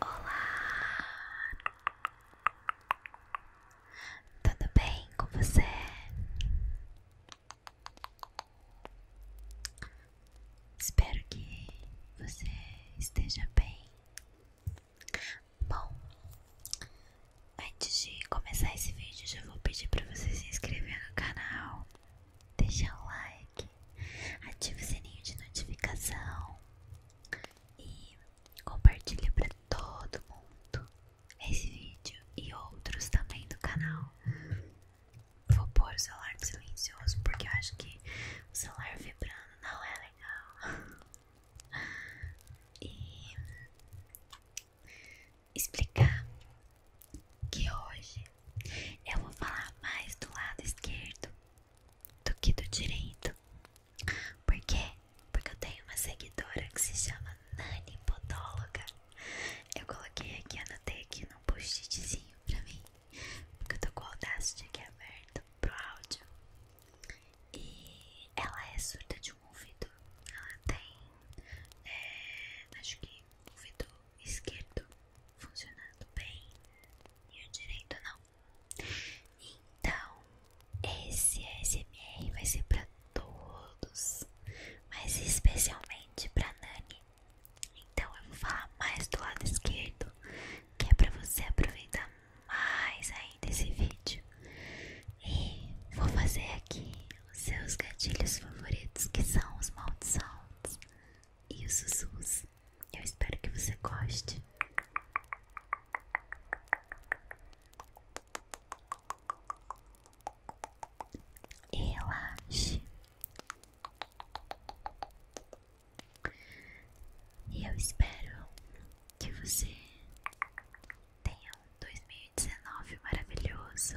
Olá! Tudo bem com você? Espero que você esteja bem. Bom, antes de começar esse vídeo, já vou pedir para você se inscrever no canal, deixar um like ative o sininho de notificação e compartilhe para todo mundo esse vídeo e outros também do canal. Vou pôr o celular silencioso porque eu acho que o celular vibrando não é legal. E explicar que hoje eu vou falar mais do lado esquerdo do que do direito. Por quê? Porque eu tenho uma seguidora que se chama Nani Podóloga. Eu coloquei aqui, anotei aqui num post-itzinho pra mim. Porque eu tô com o de aqui aberto pro áudio. E ela é surda de um ouvido. Ela tem, é, acho que o ouvido esquerdo funcionando bem e o direito não. Então, esse ASMR vai ser para todos, mas especialmente pra Nani. Então, eu vou falar mais do lado esquerdo, que é para você aproveitar mais ainda esse vídeo. E vou fazer aqui os seus gatilhos favoritos, que são os mouth e os sussurros. Eu espero que você goste. Relaxe. E eu espero que você tenha um dois mil e 2019 maravilhoso.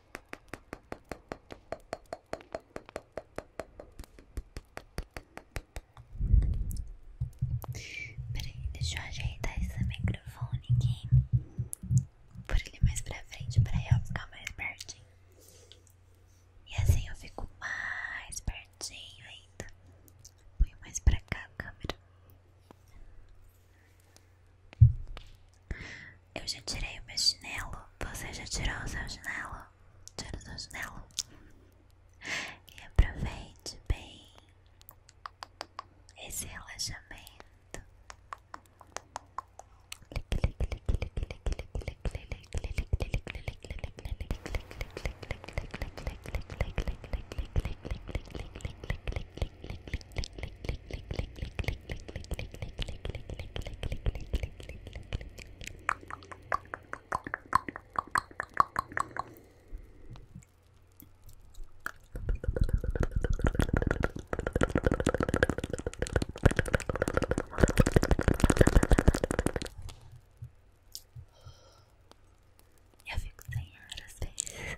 Peraí, deixa eu ajeitar esse microfone aqui. Por ele mais pra frente, pra eu ficar mais pertinho. E assim eu fico mais pertinho ainda. Põe mais pra cá a câmera. Eu já tirei o meu chinelo. Você já tirou o seu chinelo? Tira o seu chinelo. E aproveite bem esse relaxamento. Eu fico sem ar às vezes.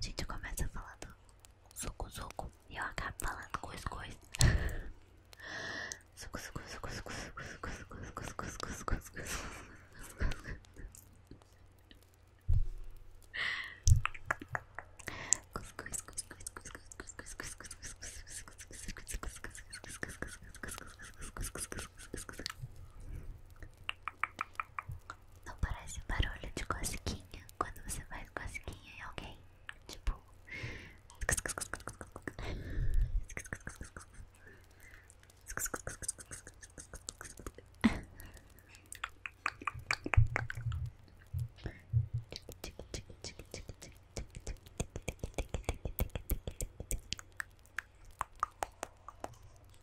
Gente, começa falando soco soco E eu acabo falando soco soco soco soco soco soco soco soco soco soco soco soco soco soco suco não parece um barulho de cosquinha quando você faz cosquinha em alguém? Tipo.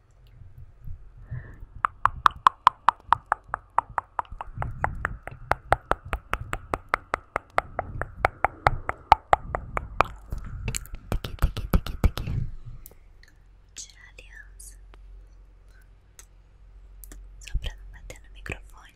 Daqui, daqui, daqui, daqui. Tirar a aliança. Só pra não bater no microfone.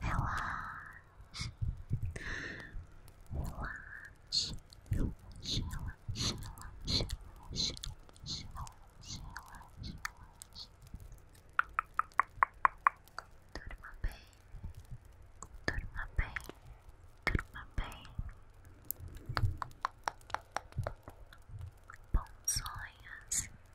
Relaxe, relaxe, relaxe, relaxe, relaxe, relaxe, relaxe, relaxe, relaxe. Durma bem, durma bem, durma bem. Bons sonhos.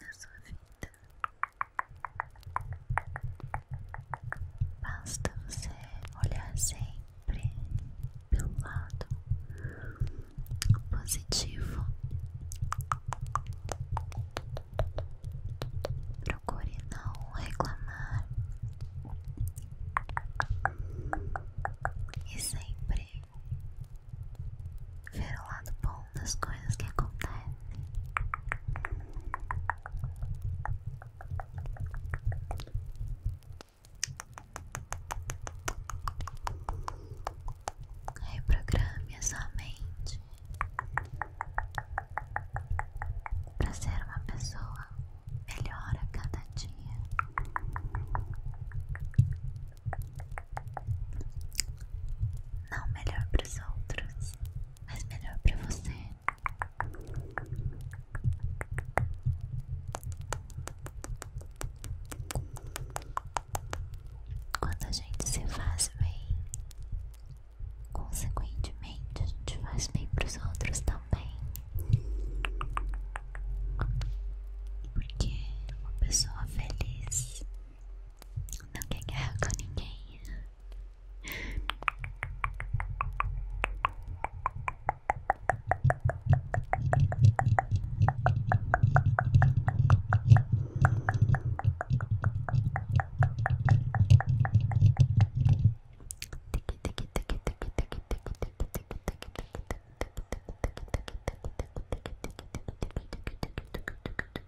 na sua vida. Basta você olhar sempre pelo lado positivo. Procure não reclamar e sempre ver o lado bom das coisas que acontecem. Reprograme a sua mente para ser uma pessoa melhor a cada dia. Não melhor para os outros, mas melhor pra você. Quando a gente se faz bem, consequentemente a gente faz bem pros outros também. Porque uma pessoa feliz não quer guerra com ninguém.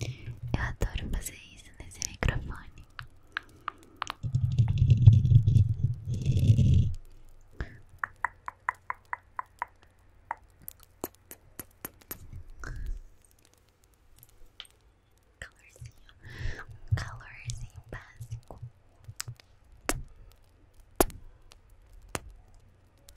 Eu adoro fazer isso nesse microfone. Calorzinho, calorzinho básico.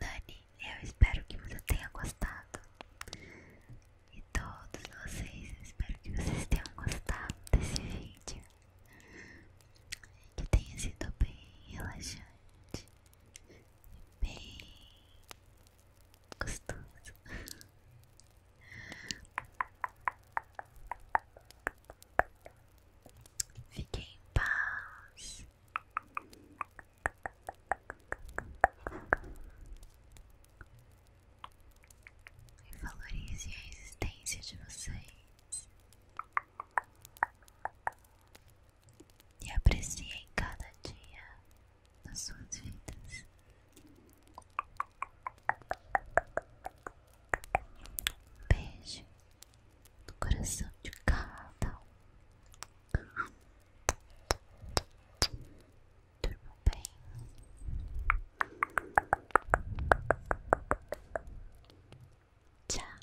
Dani, eu espero que você tenha gostado. E todos vocês, eu espero que vocês tenham gostado desse vídeo. Que tenha sido bem relaxante, bem Gostoso. Fiquem em paz. E valorize a existência de vocês e apreciei cada dia das suas vidas. beijo no coração de cada um. Durmam bem. Tchau.